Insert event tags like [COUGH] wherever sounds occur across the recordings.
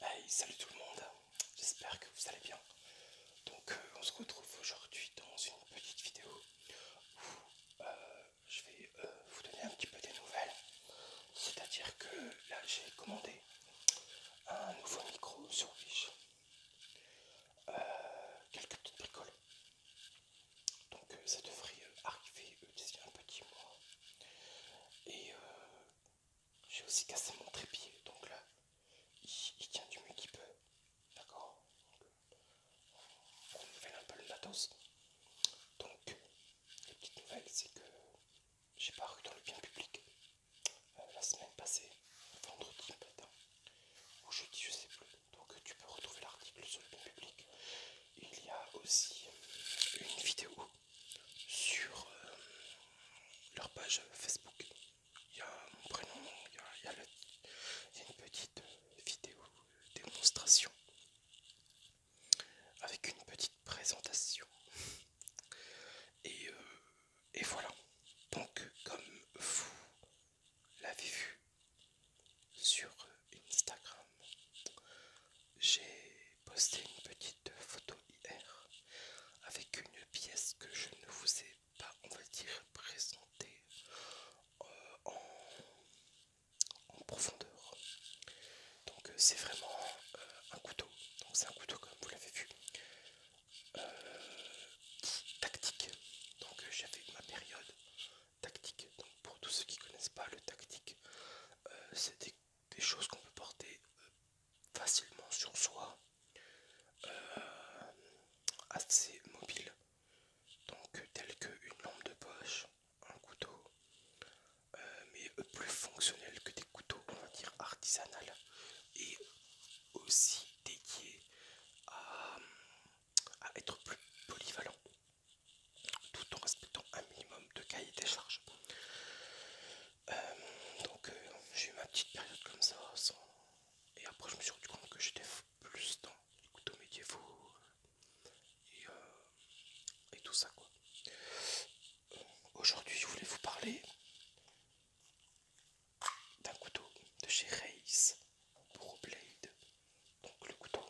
Hey, salut tout le monde, j'espère que vous allez bien. Donc euh, on se retrouve aujourd'hui dans une petite vidéo où euh, je vais euh, vous donner un petit peu des nouvelles. C'est-à-dire que là j'ai commandé un nouveau micro sur Wish. quelques petites bricoles. Donc ça devrait arriver d'ici un petit mois. Et j'ai aussi cassé mon trépied, donc là, il, tient du mieux qu'il peut. D'accord euh, On fait un peu le matos. Donc, les petites nouvelles, c'est que j'ai paru dans le bien public euh, la semaine passée, vendredi matin, ou jeudi, je sais plus. Donc, tu peux retrouver l'article sur le bien public. Il y a aussi une vidéo sur euh, leur page Facebook. Il y a mon prénom, il y a, une petite vidéo démonstration avec une petite présentation. Et, euh, et voilà. Donc comme vous l'avez vu sur Instagram, j'ai posté une petite photo hier avec une pièce que je ne vous ai pas, on va dire, présentée euh, en, profondeur. Donc euh, c'est vraiment euh, un couteau. Donc c'est un couteau comme vous l'avez vu. tactique. Donc j'avais ma période tactique. Donc pour tous ceux qui connaissent pas le tactique, c'était des choses qu'on peut porter euh, facilement sur soi, euh, assez mobiles, donc euh, telles qu'une une lampe de poche, un couteau, mais plus fonctionnel que des couteaux, on va dire artisanal, et aussi dédié à, à être plus polyvalent tout en respectant un minimum de cahier des charges euh, donc euh, j'ai eu ma petite période comme ça, et après je me suis rendu compte que j'étais plus dans les couteaux médiévaux euh, et, tout ça quoi. Aujourd'hui je voulais vous parler d'un couteau de chez Reis pour Blade. Donc le couteau,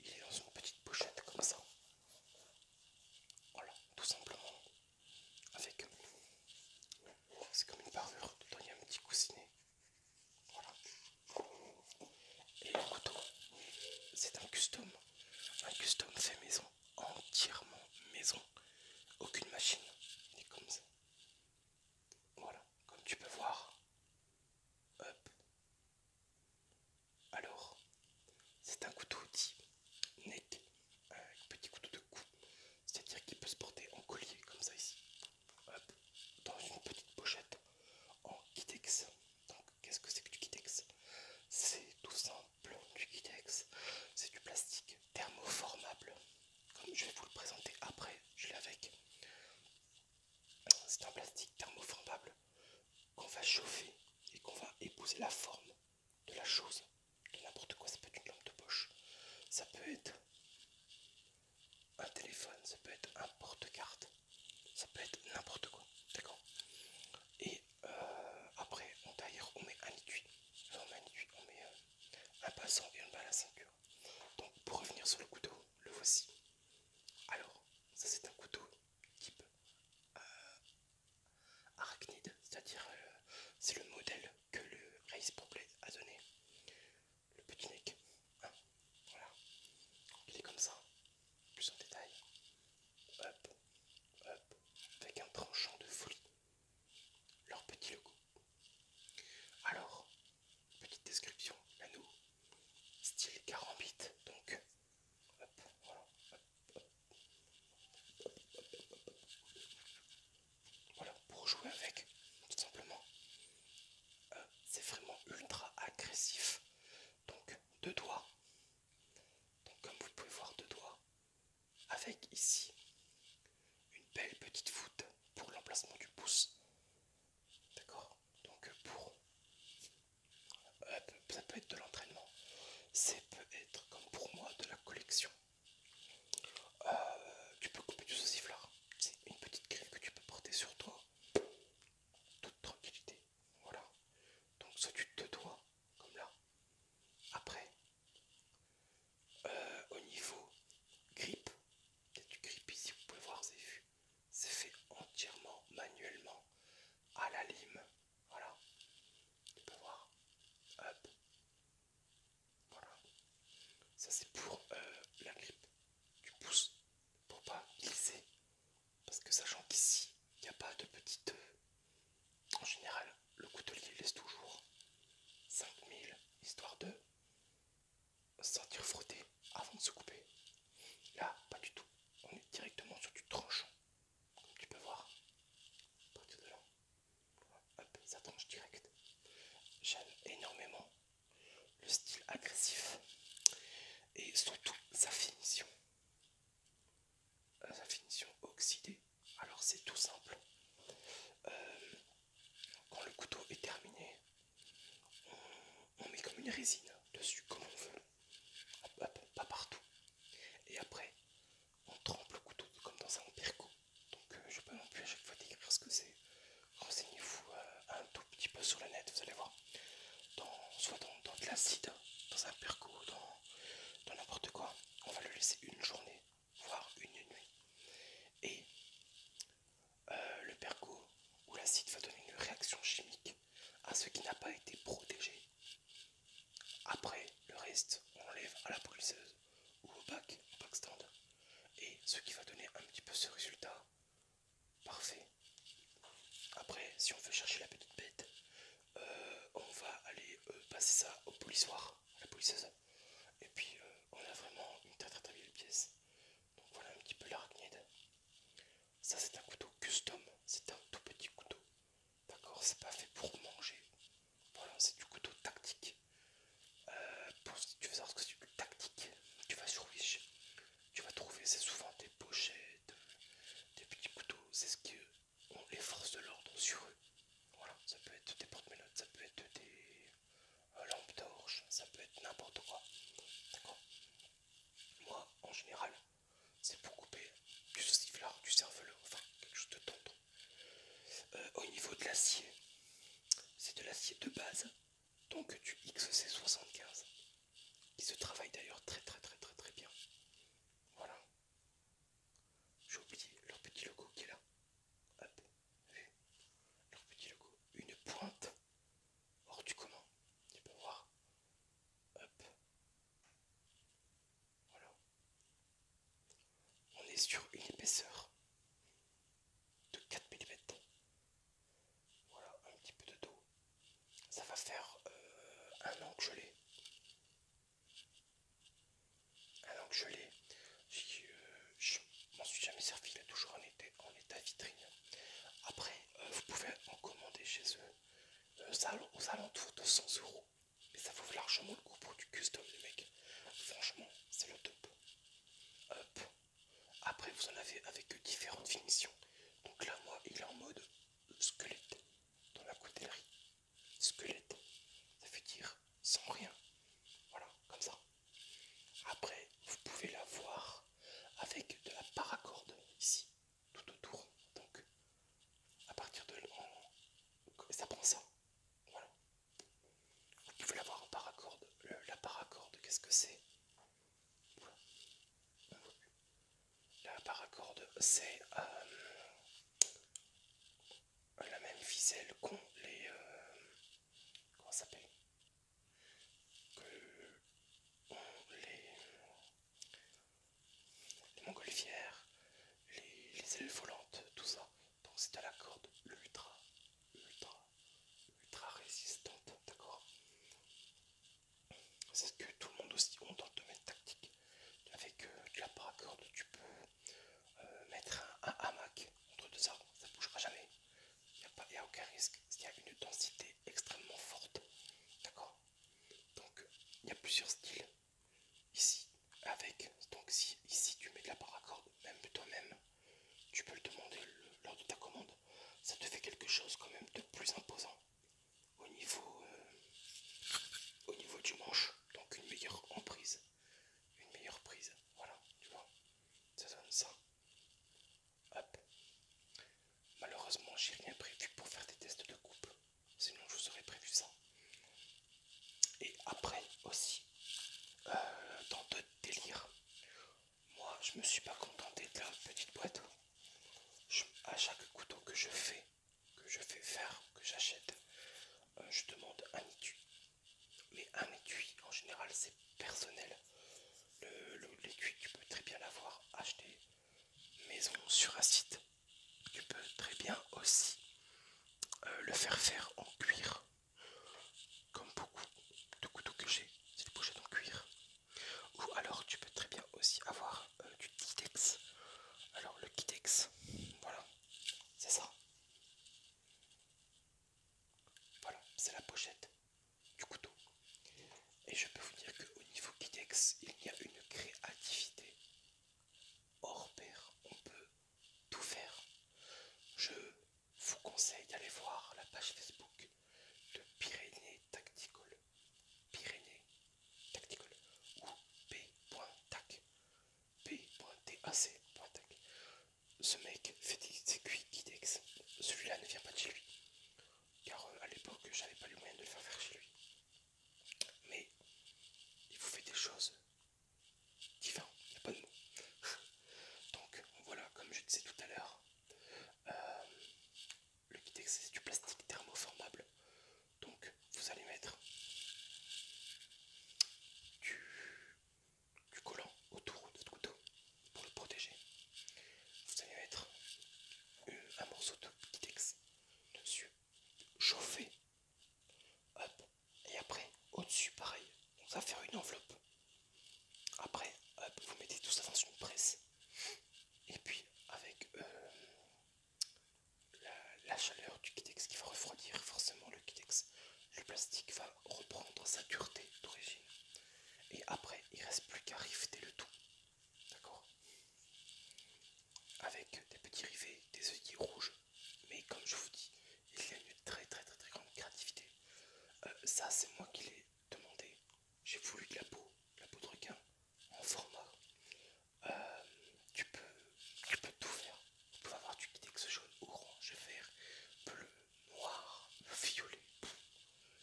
il est dans une petite pochette comme ça. Voilà, tout simplement avec c'est comme une parure dedans il y a un petit coussinet voilà et le couteau c'est un custom un custom fait maison entièrement maison aucune machine il comme ça voilà comme tu peux voir hop alors, c'est un couteau dit net, un petit couteau de cou, c'est-à-dire qu'il peut se porter en collier, comme ça ici, dans une petite pochette en kitex. Donc, qu'est-ce que c'est que du kitex C'est tout simple, du kitex, c'est du plastique thermoformable, comme je vais vous le présenter après, je l'ai avec. C'est un plastique thermoformable qu'on va chauffer et qu'on va épouser la forme de la chose n'importe quoi, ça peut être une lampe de poche, ça peut être un téléphone, ça peut être un porte-carte, ça peut être n'importe quoi, d'accord Et euh, après, on, derrière, on met un étui, on met un étui, on met un passant à la ceinture. Donc, pour revenir sur le couteau, le voici. Alors, ça c'est un couteau type euh, arachnide, c'est-à-dire euh, c'est le modèle que le Race Problem a donné. Le petit neck, hein, voilà, il est comme ça, plus en détail, avec un tranchant de folie, leur petit logo. Alors, petite description, à nous, style 40 donc, hop, voilà, hop, voilà, pour jouer avec, tout simplement. Euh, c'est vraiment ultra agressif. Donc, deux doigts. Donc, comme vous pouvez voir, deux doigts. Avec ici une belle petite voûte pour l'emplacement du pouce. D'accord Donc, pour. Euh, ça peut être de l'entraînement. Ça peut être, comme pour moi, de la collection. Euh, tu peux couper du sauciflard. C'est une petite grippe que tu peux porter sur toi. Toute tranquillité. Voilà. Donc ça tu te dois, comme là. Après, euh, au niveau grippe, il y a du grip ici, vous pouvez voir, c'est fait entièrement manuellement à la lime. Voilà. Tu peux voir. Hop. Voilà. Ça c'est pour euh, la grippe du pouce. Pour pas glisser. Parce que sachant qu'ici, il n'y a pas de petite... Euh, en général, le coutelier laisse toujours 5000, histoire de sentir frotter avant de se couper. Là, pas du tout. On est directement sur du tranchant tu peux voir partir de là ça tranche direct j'aime énormément le style agressif et surtout sa finition sa finition oxydée alors c'est tout simple euh, quand le couteau est terminé on, met comme une résine dessus comme on veut pas partout et après on trempe le couteau comme dans un perco. Donc euh, je ne vais pas non plus à chaque fois décrire ce que c'est. Renseignez-vous euh, un tout petit peu sur le net, vous allez voir. soit dans, de l'acide, dans un perco, dans n'importe quoi. On va le laisser une journée, voire une nuit. Et euh, le perco ou l'acide va donner une réaction chimique à ce qui n'a pas été protégé. Après, le reste, on l'enlève à la polisseuse ou au bac, au bac stand. Et ce qui va donner un petit peu ce résultat parfait. Après, si on veut chercher la petite bête, euh, on va aller euh, passer ça au polissoir, à la polisseuse. Et puis, euh, on a vraiment une très très très belle pièce. Donc voilà un petit peu l'arachnide. Ça, c'est un couteau custom. C'est un tout petit couteau D'accord, c'est pas fait pour manger. Voilà, c'est du couteau tactique. Euh, pour, tu veux savoir ce que c'est du tactique, tu vas sur Wish. Tu vas trouver, c'est souvent des pochettes, des petits couteaux. C'est ce qu'on les forces de l'ordre sur eux. Voilà, ça peut être des porte-mélotes, ça peut être des euh, lampes torches, ça peut être n'importe quoi. D'accord Moi, en général, c'est pour couper du sauciflard, du cerveau enfin quelque chose de tendre. Euh, au niveau de l'acier, c'est de l'acier de base, donc du XC75, qui se travaille d'ailleurs très très très très très bien. Voilà. J'ai oublié leur petit logo qui est là. Hop, leur petit logo. Une pointe hors du commun. Tu peux voir. Hop. Voilà. On est sur une épaisseur de 4 mm. Voilà, un petit peu de dos. Ça va faire euh, un an que je l'ai. Un an que je l'ai. je m'en suis jamais servi. Il est toujours en en état vitrine. Après, euh, vous pouvez en commander chez eux euh, aux alentours de 100 euros mais ça vaut largement le coup pour du custom les mecs. Franchement, c'est le top. Hop. Après vous en avez avec différentes finitions. Donc là moi il est en mode squelette dans la coutellerie. Squelette. Ça veut dire sans rien. Voilà, comme ça. Après, vous pouvez la voir avec de la paracorde ici, tout autour. Donc à partir de là, ça prend ça. Voilà. Vous pouvez l'avoir en paracorde. la paracorde, qu'est-ce que c'est La paracorde, c'est euh, la même ficelle qu'ont les... Euh, comment ça s'appelle Que ont les... Les montgolfières, les ailes volantes, tout ça. Donc c'est de la corde ultra, ultra, ultra résistante, d'accord C'est ce que tout le monde aussi ont dans le domaine tactique. Avec euh, du de la paracorde, tu peux euh, mettre un, hamac entre deux arbres, ça ne bougera jamais. Il n'y a, a, aucun risque, il y a une densité extrêmement forte, d'accord Donc il y a plusieurs styles ici avec donc si ici tu mets de la paracorde même toi-même tu peux le demander lors de ta commande ça te fait quelque chose quand même de plus imposant au niveau euh, au niveau du manche donc une meilleure emprise une meilleure prise voilà tu vois ça donne ça hop malheureusement j'ai rien prévu pour faire des tests de coupe sinon je vous aurais prévu ça. Et après aussi, euh, dans d'autres délires, moi je me suis pas contenté de la petite boîte. à chaque couteau que je fais, que je fais faire, que j'achète, euh, je demande un étui. Mais un étui, en général, c'est personnel. L'étui, le, tu peux très bien l'avoir acheté maison sur un site tu peux très bien aussi euh, le faire faire en cuir comme beaucoup de couteaux que j'ai c'est une pochette en cuir ou alors tu peux très bien aussi avoir euh, du kitex alors le kitex voilà c'est ça voilà c'est la pochette du couteau et je peux vous dire qu'au niveau kitex il y a une créativité hors pair on peut tout faire. Je vous conseille d'aller voir la page Facebook de Pyrénées Tactical. Pyrénées Tacticol ou P.tac. Ce mec fait des sécuits guidex, Celui-là ne vient pas de chez lui. Car euh, à l'époque, j'avais pas les moyens de le faire faire chez lui. Mais il vous fait des choses divin, il n'y a pas de mots. [LAUGHS] Donc voilà, comme je disais tout à l'heure, euh, le Kitex c'est du plastique thermoformable. Donc vous allez mettre du, collant autour de votre couteau pour le protéger. Vous allez mettre euh, un morceau de Kitex dessus, chauffer. Hop, et après au-dessus pareil on va faire une enveloppe après vous mettez tout ça dans une presse et puis avec euh, la, chaleur du kitex qui va refroidir forcément le kitex le plastique va reprendre sa dureté d'origine et après il reste plus qu'à riveter le tout d'accord avec des petits rivets des œillets rouges mais comme je vous dis, il y a une très très très très grande créativité. Euh, ça, c'est moi qui l'ai demandé. J'ai voulu de la peau, la peau de requin en format. Euh, tu, peux, tout faire. Tu peux avoir du kitex jaune, orange, vert, bleu, noir, violet.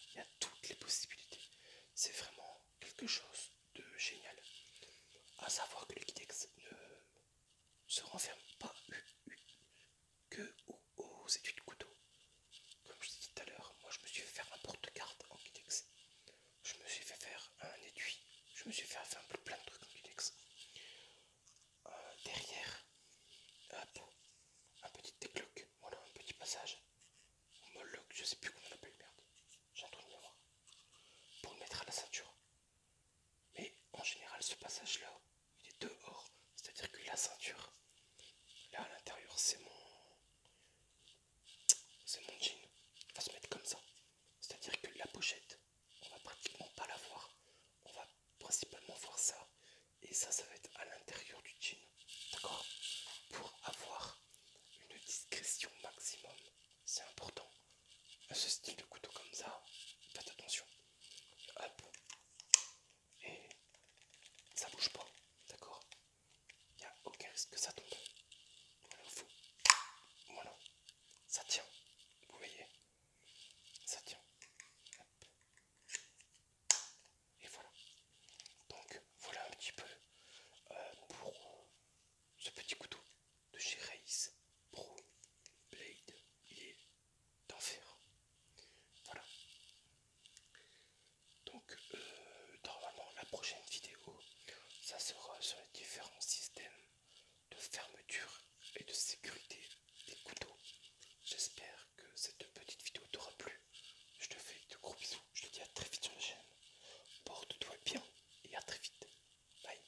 Il y a toutes les possibilités. C'est vraiment quelque chose de génial. À savoir que le kitex ne se renferme pas que aux, étuis de couteau. Comme je dit tout à l'heure, moi je me suis fait faire un porte-carte en kidex. Je me suis fait faire un étui. Je me suis fait faire un plein de trucs en kidex. Euh, derrière, hop, un petit décloque. Voilà, un petit passage. Homologue, je sais plus comment on appelle, merde. J'ai un de mémoire. Pour le mettre à la ceinture. Mais en général, ce passage-là, il est dehors, c'est-à-dire que la ceinture, là à l'intérieur, c'est mon, c'est mon jean. on va se mettre comme ça, c'est-à-dire que la pochette, on va pratiquement pas la voir. On va principalement voir ça, et ça, ça va être à l'intérieur du jean, d'accord Pour avoir une discrétion maximum, c'est important ce style de couteau comme ça, faites attention. Hop. Et ça bouge pas, d'accord Il n'y a aucun risque que ça tombe. Voilà, Ça tient. Vous voyez Ça tient. Et voilà. Donc voilà un petit peu euh, pour ce petit couteau de chez Race Pro Blade. et d'enfer. Voilà. Donc, euh, normalement, la prochaine vidéo, ça sera sur les différents systèmes de fermeture et de sécurité des couteaux. J'espère que cette petite vidéo t'aura plu. Je te fais de gros bisous. Je te dis à très vite sur la chaîne. Porte-toi bien et à très vite. Bye.